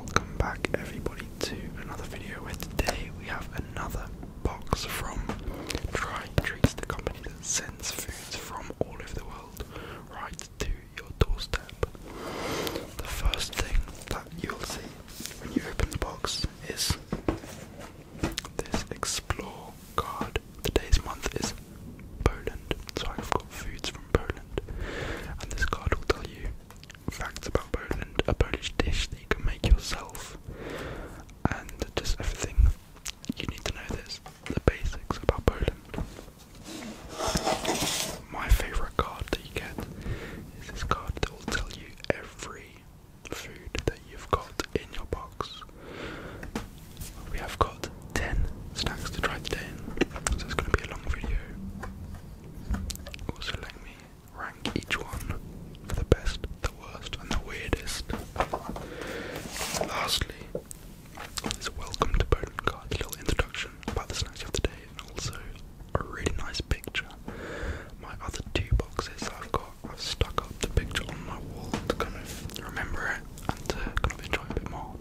Welcome back everybody to another video where today we have another box from Try Treats, the company that sends foods from all over the world right to your doorstep. The first thing that you'll see when you open the box is this explore card. Today's month is Poland, so I've got foods from Poland, and this card will tell you facts about Poland, a Polish dish that you can make yourself, and just everything. You need to know this, the basics about Poland. My favourite card that you get is this card that will tell you every food that you've got in your box. We have got 10 snacks to try today, so it's going to be a long video. Also, let me rank each one for the best, the worst, and the weirdest. lastly, is a welcome to Bowden Card's little introduction about the snacks of the day, and also a really nice picture. My other two boxes I've got, stuck up the picture on my wall to kind of remember it and to kind of enjoy a bit more.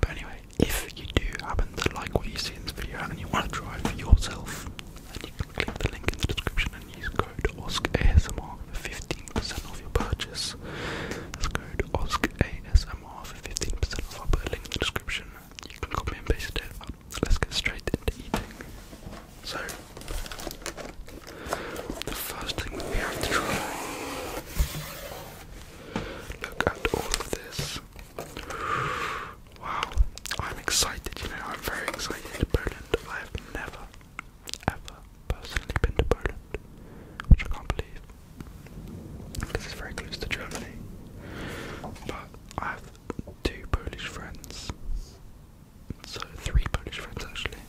But anyway, if you do happen to like what you see in this video and you want to try it for yourself, then you can click the link in the description and use code OSCASMR for 15% off your purchase. That's code OSCASMR for 15% off. i put a link in the description. You can copy and paste it. Let's get straight into eating. So, the first thing we have to try. Look at all of this. Wow, I'm excited, you know, I'm very excited to Poland. I've never, ever personally been to Poland, which I can't believe. Because it's very close to Germany. But I have two Polish friends. So three Polish friends actually.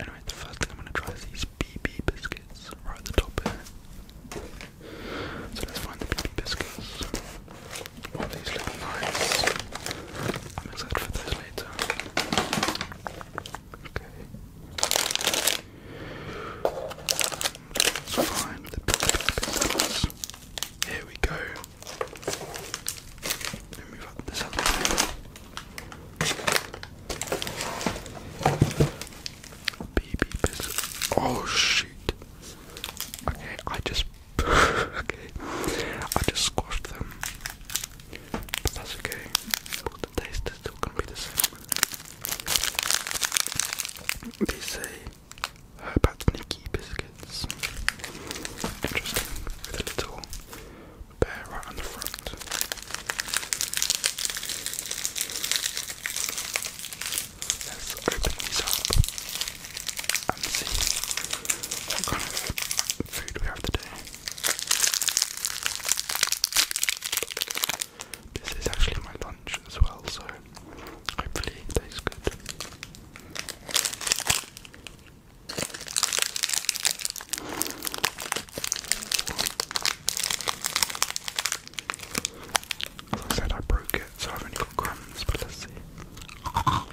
Anyway, the first thing I'm gonna try is these BB biscuits right at the top here. So let's find the bloody biscuits. All these little knives. I'm excited for those later. Okay. Let's find the biscuits. Here we go. Let me move this other Baby biscuit. Oh shoot. Okay, I just okay. I just squashed them. that's okay. the taste is still gonna be the same. They say Herbatniki biscuits. Interesting. With a little bear right on the front. Let's open these up and see what kind of food we have today. This is actually my lunch as well, so hopefully it tastes good. I said, I broke it, so I've only got crumbs, but let's see. Oh,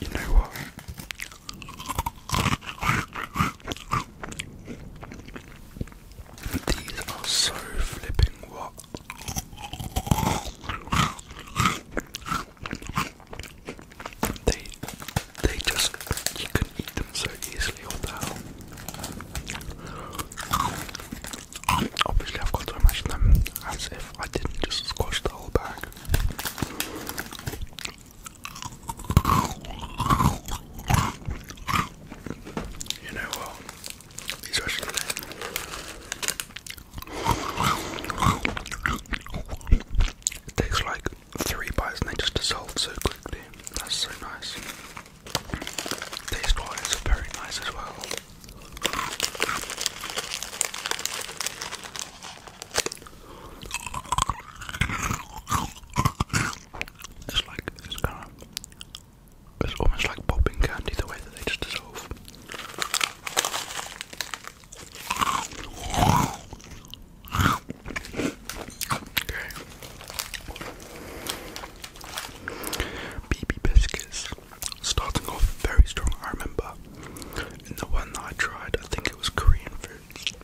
you know what? These are so flipping what? They they just you can eat them so easily. What Obviously, I've got to imagine them as if I didn't just squash the whole bag. You know what? These are It tastes like three bites and they just dissolve so quickly. That's so nice. Taste wise, very nice as well. It's like, it's kind of, it's almost like popping candy the way that they just dissolve. BB biscuits, starting off very strong. I remember, and the one that I tried, I think it was Korean food.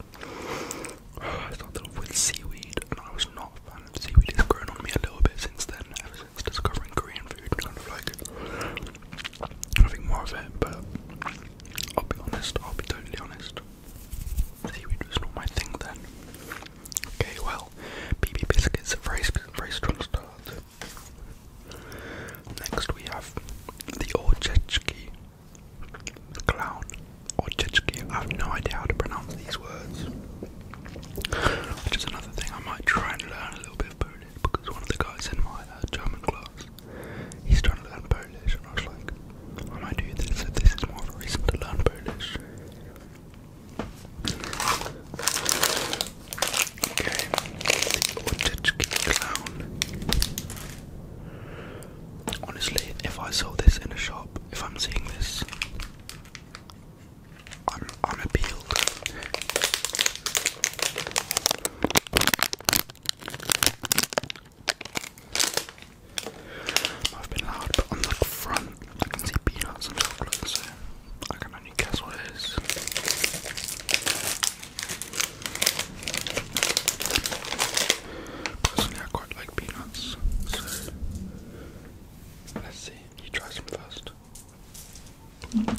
I started off with seaweed, and I was not a fan of seaweed. It's grown on me a little bit since then. Ever since discovering Korean food, kind of like having more of it, but. I'll be honest, I'll be totally honest. Seaweed was not my thing then. Okay, well, BB biscuits are very, very strong start. Next we have the Orchechki clown. Orchechki, I have no idea how to pronounce these words. Which is another thing I might try and learn a little bit of Polish because one of the guys in my uh, German class he's trying to learn Polish, and I was like, I might do this, so this is more of a reason to learn Polish. Okay, Orzeczki Clown. Honestly, if I saw this in a shop, if I'm seeing this, I'm, I'm appealed. I've been loud, but on the front I can see peanuts and chocolate, I can only guess what it is. Personally, I quite like peanuts, let's see. You try some first. Okay.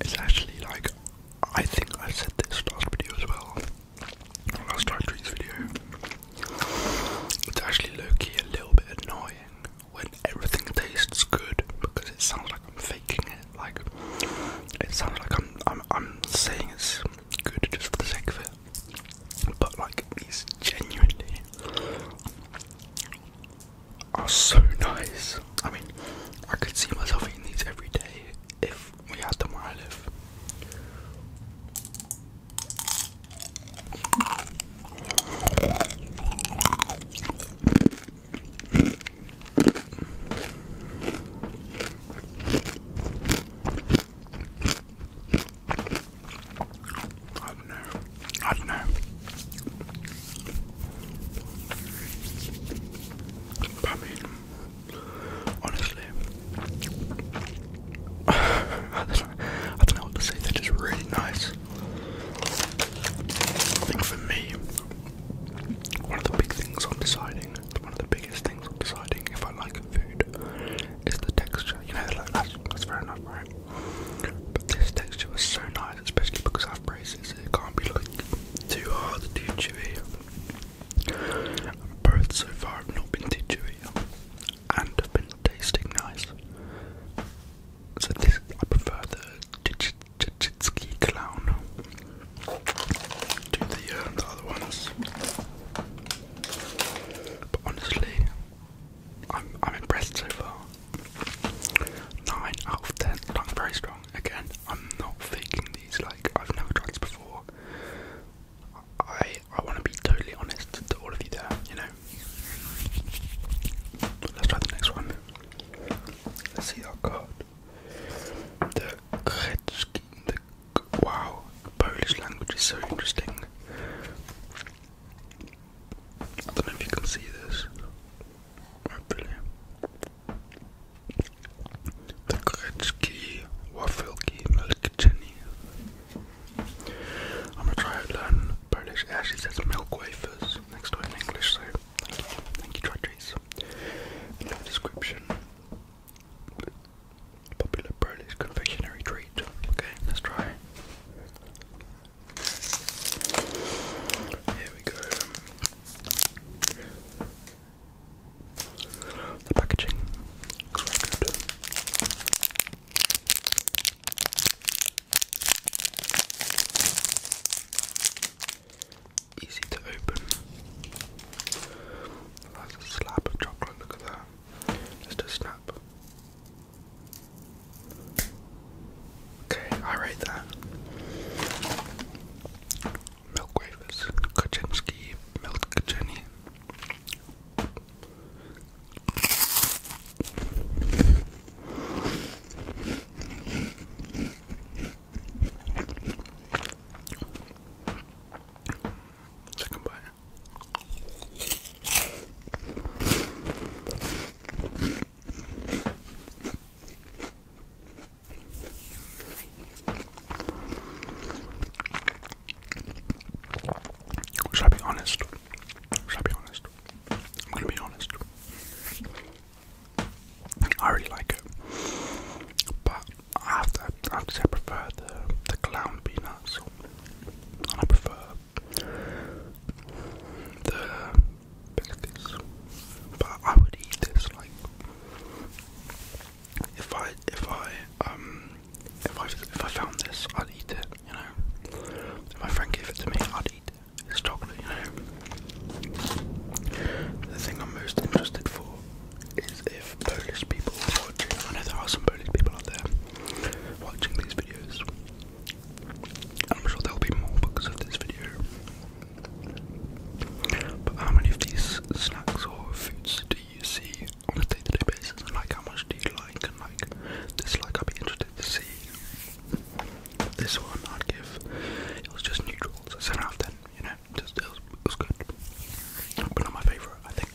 It's actually like, I think I said this last video as well, last time treats video. It's actually low a little bit annoying when everything tastes good because it sounds like I'm faking it. Like, it sounds like I'm I'm I'm saying it's good just for the sake of it but like these genuinely are so nice. I mean, I could see myself eating these every day if we had them where I live. I don't know. I don't know. But I mean, honestly, I, don't know, I to say. they really nice. I think for me, one of the big things I'm deciding, one of the biggest things I'm deciding if I like food it's the texture. You know, like that's, fair enough, right? But this texture was so nice, especially because I have braces. It can't be like too hard, too chewy. And both so far have not been too chewy and have been tasting nice. So this, I prefer the Chichitsky clown to the other ones. But honestly, I'm I'm impressed so far. Nine out of ten, like very strong. Again, I'm not faking these. Like I've never tried this before. I I want to be totally honest to all of you there. You know. Let's try the next one. Let's see our card. The Gretzky, Wow, the Polish language is so interesting. I don't know if you can see this. The Gretzky Wafelki Milkchini. I'm gonna try to learn Polish. It actually says milk wafers next to it in English, so thank you. Thank In the description. Popular Polish confectionery treat. Okay, let's try. Here we go. The packaging Easy to open. That's a slab of chocolate, look at that. Just a snap. Okay, I rate that. Milk wafers, Kaczynski, milk Jenny. Second bite. Should I be honest? Should I be honest? I'm gonna be honest. I really like it, but I have to, I say prefer the the clown peanuts, and I prefer the biscuits. But I would eat this like if I if I um if I if I found this I'd eat it. You know, my friend gave it to me, I'd eat it. It's chocolate, you know. The thing I'm most interested for is if Polish people watching. I know there are some Polish people out there watching these videos. I'm sure there'll be more because of this video. But how many of these snacks or foods do you see on a day-to-day basis? And like, how much do you like and like dislike? I'd be interested to see. This one I'd give. It was just neutral, so seven out of ten. You know, just it was, it was good. But not my favorite. I think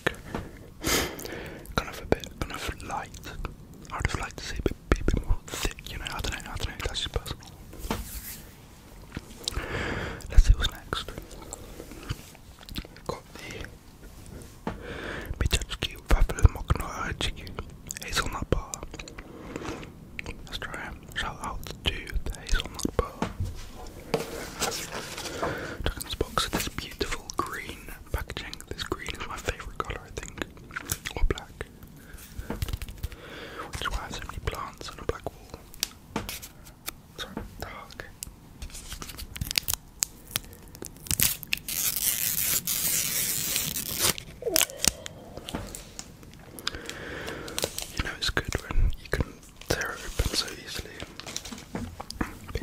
kind of a bit kind of light. I would have to see it be a bit more thick, you know, I don't know, I don't know, that's just Let's see what's next. Got the Michachki Waffle Mokno Chicken Hazelnut Bar. Let's try Shout out to the Hazelnut Bar. Took this box with this beautiful green packaging. This green is my favourite colour, I think, or black, which why so many plants on a black wall. Sorry, dark. You know it's good when you can Tear are open so easily.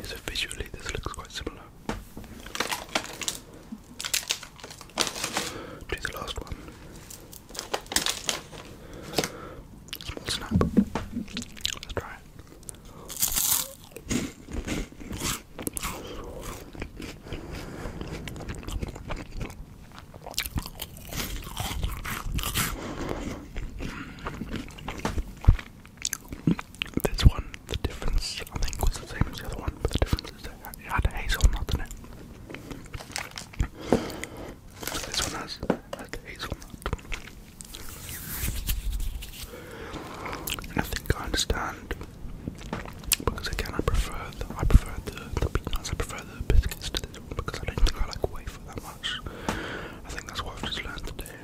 so visually, this looks quite similar to the last one. Small snap. Let's try it. This one, the difference I think was the same as the other one, but the difference is that it had a hazelnut in it. This one has, has hazelnut. And I think I understand because again I prefer the I prefer the, the peanuts, I prefer the biscuits to this one because I don't think I like for that one much. I think that's what I've just learned today.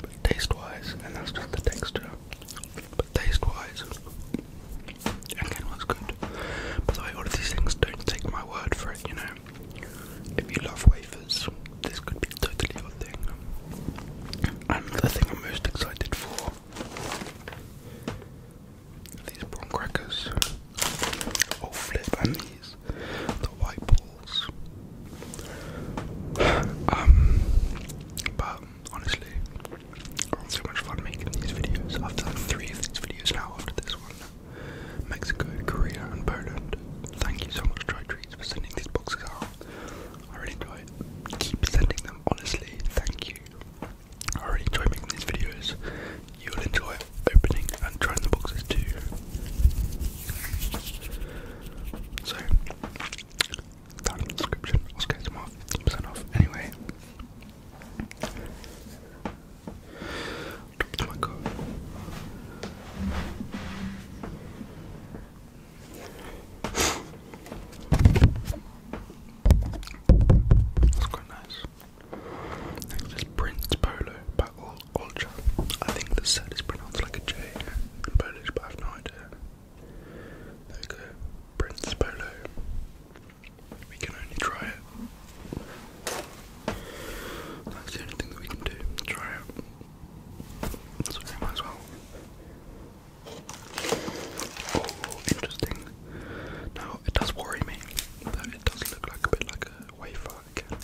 But taste-wise, and that's just the texture. But taste-wise, again, was good. By the way, all of these things don't take my word for it. You know, if you love wafers, this could be totally your thing. And the thing I'm most excited for. These prawn crackers. Oh flip, and these, the white balls. um, but honestly, I'm so much fun making these videos. I've done three of these videos now after this one. Mexico, Korea, and Poland. Thank you so much, Dry Treats, for sending these boxes out. I really enjoy Keep sending them, honestly. Thank you. I really enjoy making these videos. You'll enjoy opening and trying the boxes too. So, down in the description, I'll get them off, 10% off. Anyway, dropped my car. That's quite nice. Next is Prince Polo Battle Ultra. I think the is pronounced like a J in Polish, but I have no idea. There Prince Polo. We can only try it. That's the only thing that we can do. Try it. So we might as well. Oh, interesting. Now, it does worry me it does look like a bit like a wafer like. But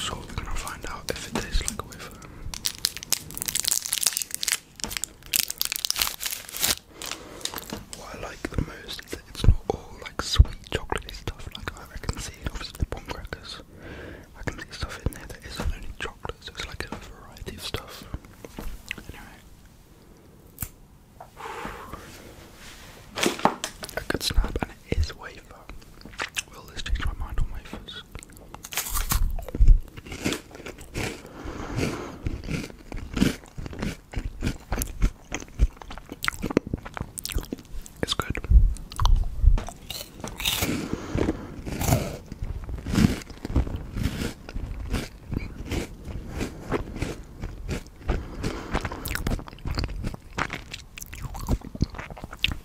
so we're gonna find out if it tastes like a wafer. What I like the most is that it's not all like sweet chocolatey stuff. Like I can see obviously the bomb crackers. I can see stuff in there that isn't only chocolate, so it's like a variety of stuff. Anyway. I could snap and it is wafer. Will this change my mind on wafers? It's good.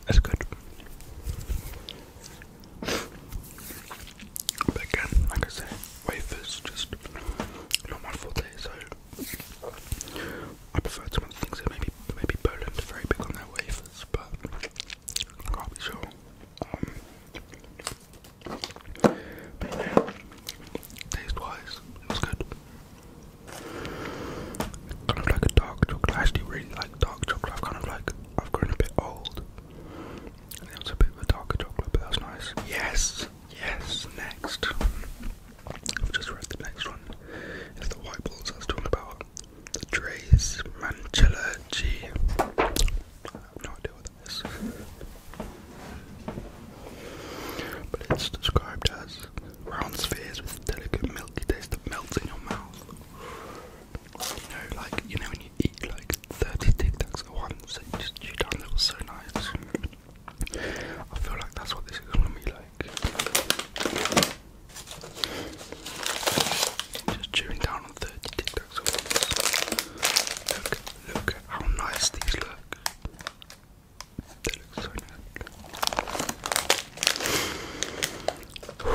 That's good. But again, like I said, wafers just not my forte, so I prefer some of things that maybe maybe Poland are very big on their wafers, but I can't be sure. Um, taste-wise, it good. Kind of like a dark chocolate. actually really like dark chocolate. kind of like I've grown a bit old. it was a bit of a darker chocolate, but that's nice. Yes, yes. Next, I've just read the next one. It's the white balls I was talking about. The Dre's Manchella G. I have no idea what this. But it's described as round spheres with delicate milky taste that melts in your mouth. You know, like you know when you eat like 30 Tic Tacs at once, it just chew down. That was so nice. I feel like that's what this is gonna be like. Just chewing down on 30 Tic Tacs at once. Look at how nice these look. They look so nice. I'm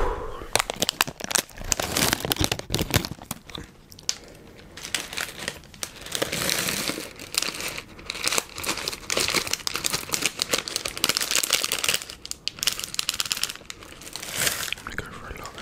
gonna go for a lot of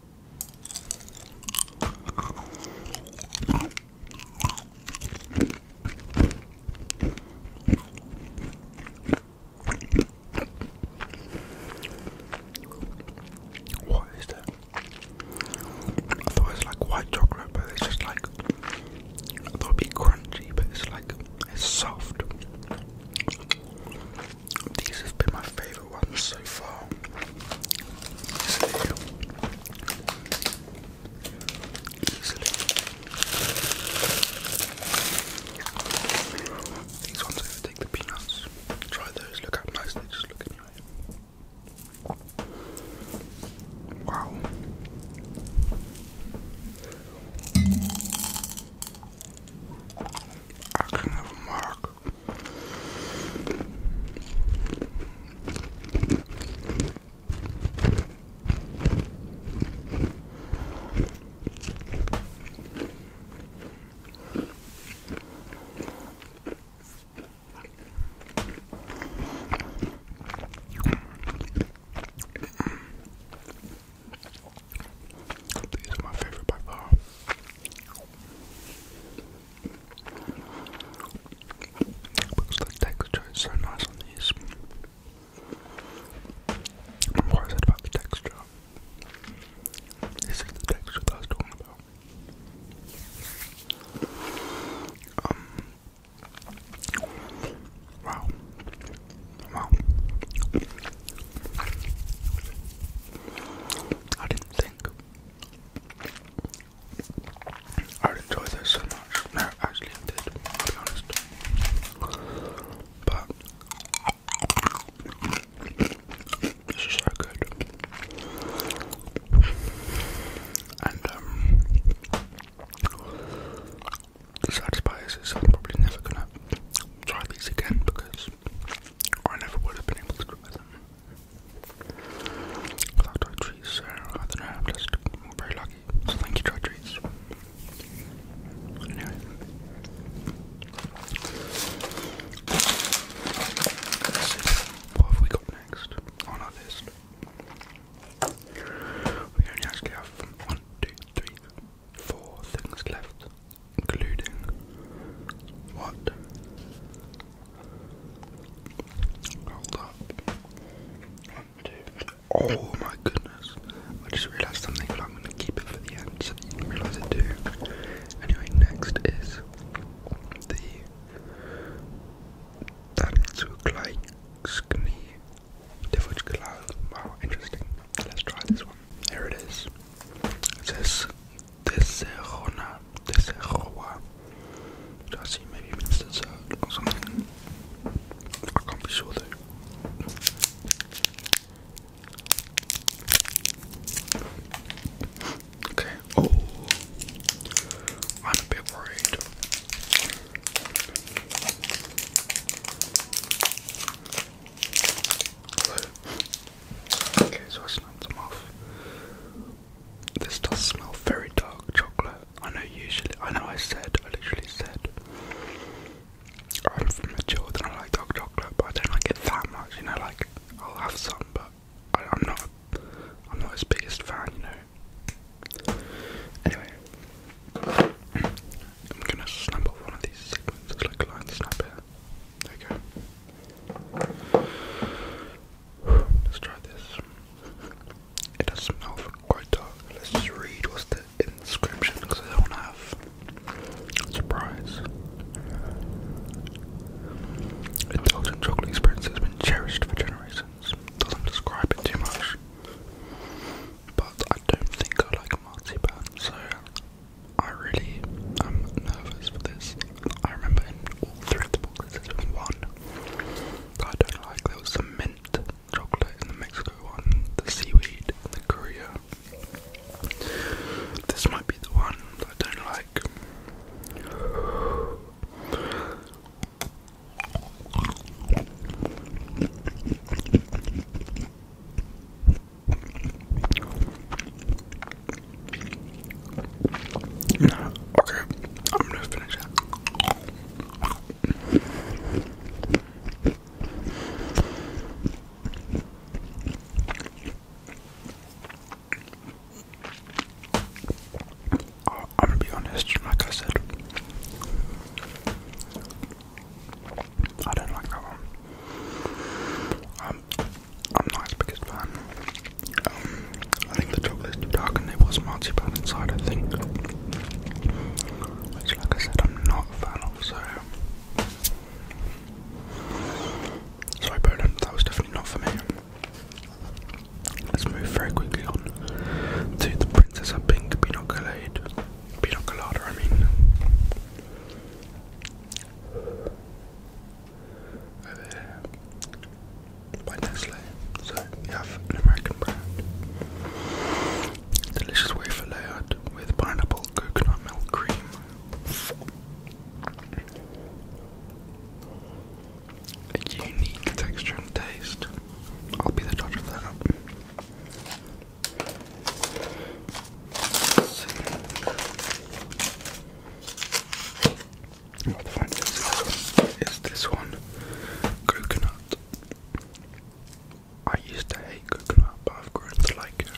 What is that? I thought it was like white chocolate, but it's just like I thought it'd be crunchy, but it's like it's soft. These have been my favorite better one so far. Easily. Easily. the peanuts. Try those, look how nice they just look anyway. Wow. I can have a mark. These are my favorite by far. Because the texture is so nice on these. Remember what I said about the texture? This is the texture I was talking about. Um, wow. Wow. I didn't think I enjoy this so much. No, actually, I did, I'll be honest. But this is so good. And, um, I'm probably never gonna try these again because I never would have been able to do it them. Without dry so I don't know, I'm just very lucky. So thank you, dry Anyway. What have we got next on our list? We only actually have one, two, three, four things left, including what? Hold up. Oh my goodness. I just realized something, but I'm going to keep it for the end so you can realize it too. Anyway, next is the Tanzugleichskni Divujkalau. Wow, interesting. Let's try this one. Here it is. It says this This is is Tesserona, Tesserua. I see maybe even dessert or something. I can't be sure though. Okay, oh, I'm a bit worried. Okay, so I snapped them off. This does smell very dark chocolate. I know usually, I know I said, I literally said, I'm from the children, I like dark chocolate, but I don't like it that much, you know, like, I'll have some, but I, am not, I'm not his biggest fan, you know. Anyway, I'm gonna snap one of these segments, like line snap here. Okay. Let's try this. It does smell quite dark. Let's just read what's the inscription because I don't have a surprise. Indulgent chocolate experience has been cherished for generations. Doesn't describe it too much. But I don't think I like marzipan, so I really am nervous for this. I remember in all three of the boxes one I don't like. There was some mint chocolate in the Mexico one, the seaweed in the Korea. This might be the one I don't like. No, okay, I'm gonna finish that. Uh, I'm gonna be honest, like I said, I don't like that one. I'm not his biggest fan. Um, I think the chocolate is too dark and there was marzipan inside, I think. Which, like I said, I'm not a fan so. Sorry, Poland, that was definitely not for me. Let's move very quickly on to the Princess of Pink Pinot Colade. Pinot Colada, I mean over Nestle. So you have an American brand. Delicious wafer layered with pineapple coconut milk cream. unique texture and taste. I'll be the judge of that. Now the is this one. Is this one coconut? I used to hate coconut, but I've grown to like it.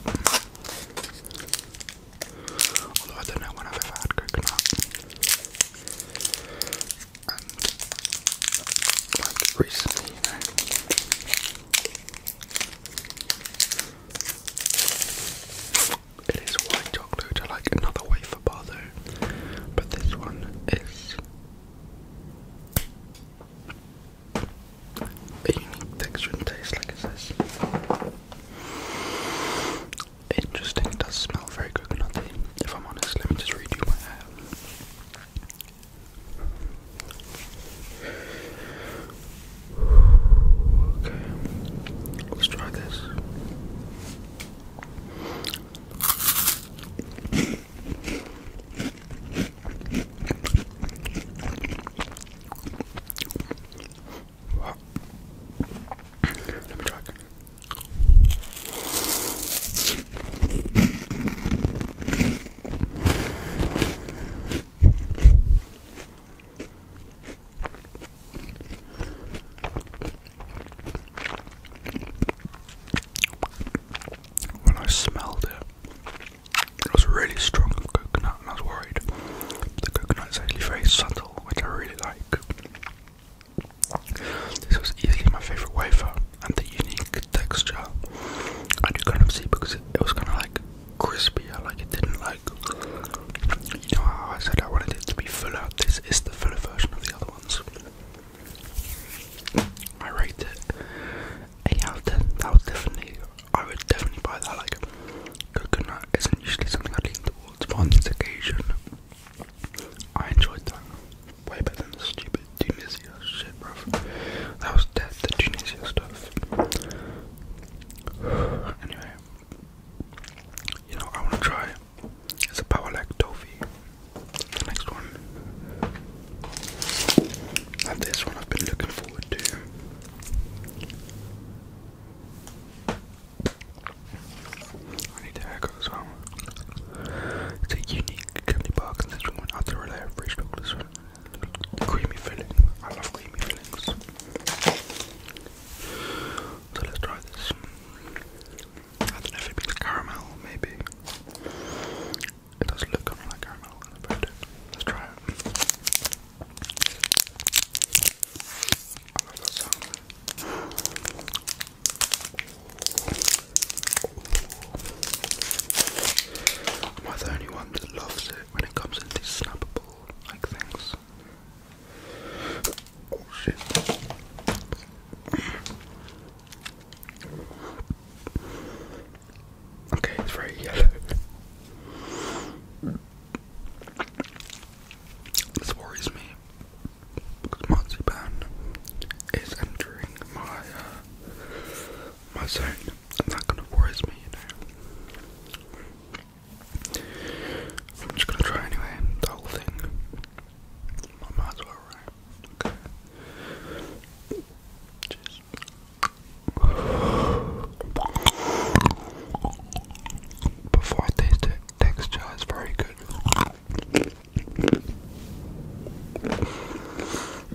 Although I don't know when I've ever had coconut. And recently, you know. It is white chocolate. I like another wafer bar though, but this one is a unique texture and taste, like it says. Interesting. It does smell very coconutty. If I'm honest, let me just redo my hair. Okay, let's try this. Let me try when I smelled it, it was really strong of coconut, and I was worried. The coconut is actually very subtle, which I really like. This was easily my favourite wafer, and the unique texture I do kind of see because it, it was kind of like crispy. I like it didn't like. You know how I said I wanted it to be fuller. This is the fuller version of the other ones. I rate it That was definitely. I would definitely buy that. Like coconut isn't usually something I lean towards, on this occasion, I enjoyed that way better than the stupid Tunisian shit, bruv. That was dead. The Tunisia stuff. anyway, you know, I want to try it's a power like toffee. The next one, now this one I've been looking forward to. I need a haircut as well. It's a unique candy bar, and this one went out to relay a fresh chocolate creamy filling. I love creamy fillings. So let's try this. I don't know if it means caramel, maybe. It does look kind of like caramel in the photo. Let's try it. Am I the only one that loves when it comes into snappable like things. Oh, shit. Okay, it's very yellow. This worries me because marzipan is entering my uh, my zone. I'm not gonna force me, you know. I'm just gonna try anyway, the whole thing. I might as Okay. Cheers. Before I taste it, texture is very good.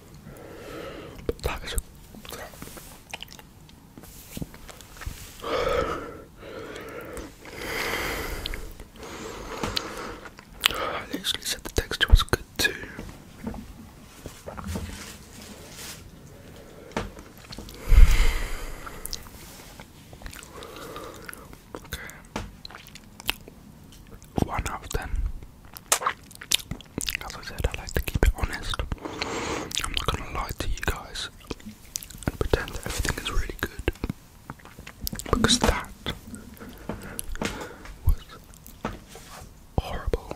I that is literally said the texture was good too. Okay. One of ten. As I said, I like to keep it honest. I'm not gonna lie to you guys and pretend that everything is really good. Because that was horrible.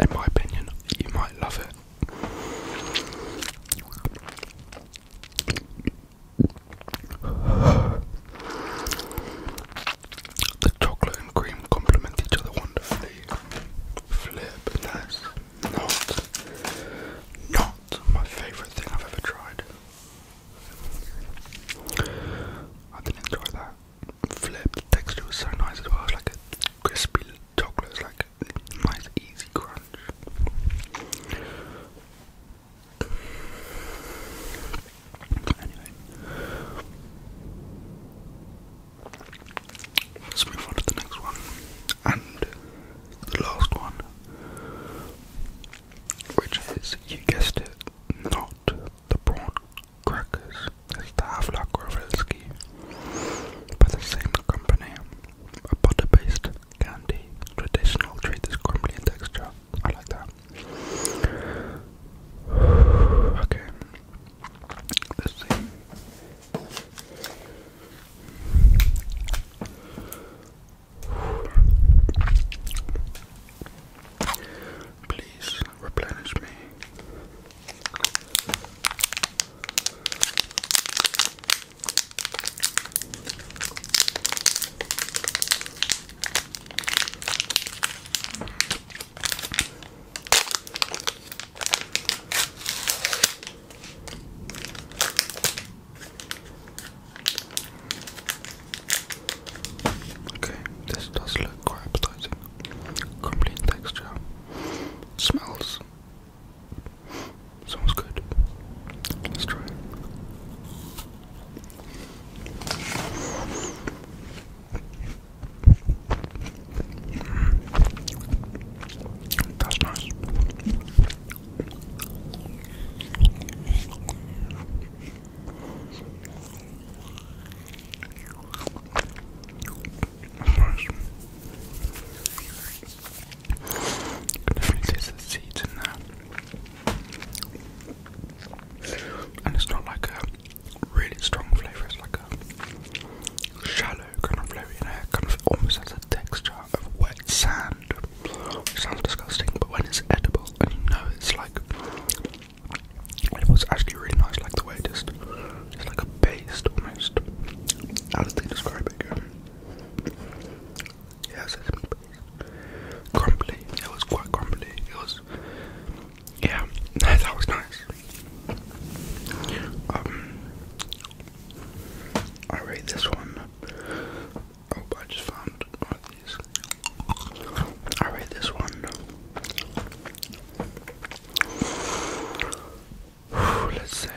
In my opinion, you might love it. The chocolate and cream complement each other wonderfully. Flip, nice. Not, not my favorite thing I've ever tried. I didn't enjoy that. Flip, the texture was so nice as well. It like a crispy chocolate, it like nice, easy crunch. Anyway. Let's move the next one. And the last one. Which is, you guessed it, not the prawn crackers. It's the Havlak Rovelski. By the same company. A butter based candy. Traditional treat is crumbly in texture. I like that okay. Let's see. Please replenish me. Okay, this does look quite appetizing. Complete texture. Smells. Sounds good. Let's try that's nice. That's nice. You can definitely taste the seeds in and it's not like a really strong flavour, it's like a shallow kind of flavour, you know, kind of almost has a texture of wet sand. It sounds disgusting, but when it's edible and you know it's like it was actually really nice, like the way it just it's like a paste almost. How did they describe it? Yeah, Crumbly. It was quite crumbly. It was. Yeah, that was nice. Um, I rate this one. Oh, I just found one of these. I rate this one. Let's say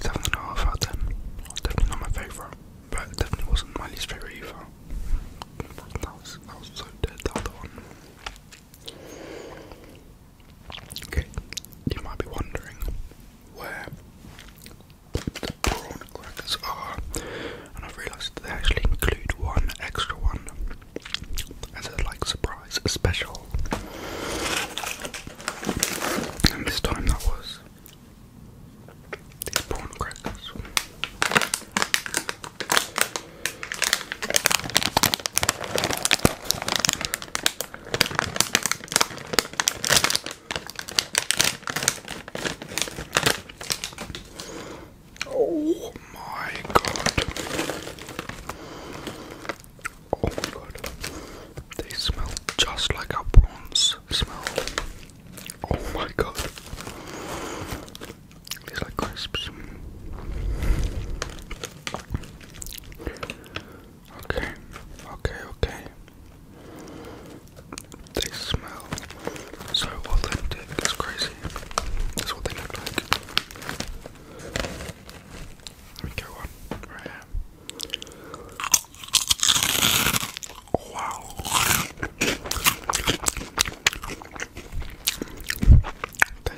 Seven and a half out of ten. Definitely not my favourite, but definitely wasn't my least favourite either. That was, so dead, That other one. Okay, you might be wondering where the prawn crackers are, and I've realised they actually include one extra one as a like surprise special. And this time that was these prawn crackers. Oh my god. Oh my god, they smell just like a prawns smell. Oh my god, these like crisps. Okay, okay, okay. They smell so authentic, it's crazy. That's what they look like. Let me go on, right here. Wow. Tastes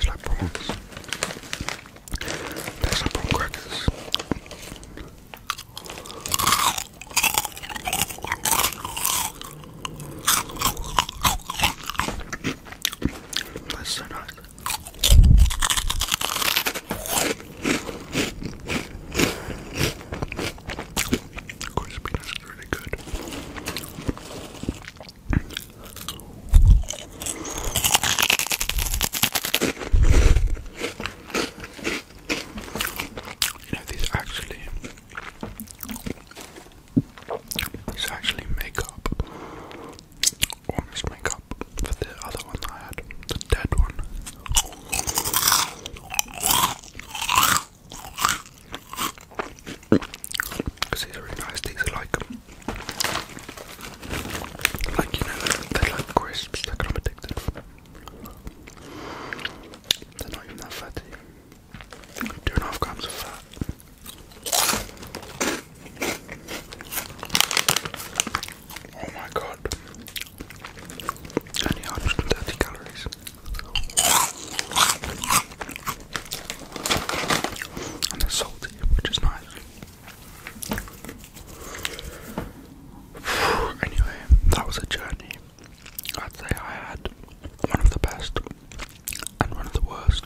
like prawns. Tastes like prawn crackers. That's so nice. Crispiness is You know, these actually, these actually make up almost make up for the other one I had, the dead one. Because these are really nice, these are like, like you know, they're like crisps, like I'm addicted They're not even that fatty. Two and a half grams of fat. Oh my god. Only 130 calories. And they salty, which is nice. Anyway, that was a journey. I'd say I had one of the best and one of the worst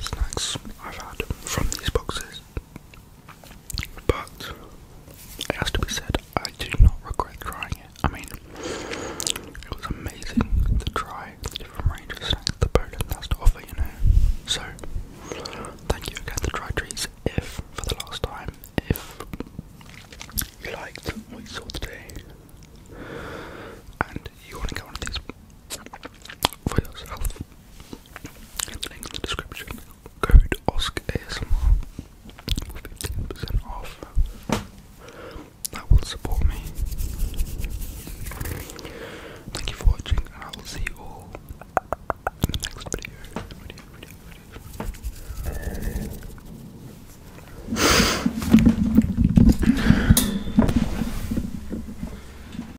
snacks I've had from these boxes. But it has to be said, I do not regret trying it. I mean, it was amazing the try the different range of snacks that has to offer, you know. So, thank you again to Dry Trees if, for the last time, if you liked what you saw today and you want to get one these for yourself. link in the description. Code OSCASMR for 15% off. That will support me. Thank you for watching, and I will see you all in the next video.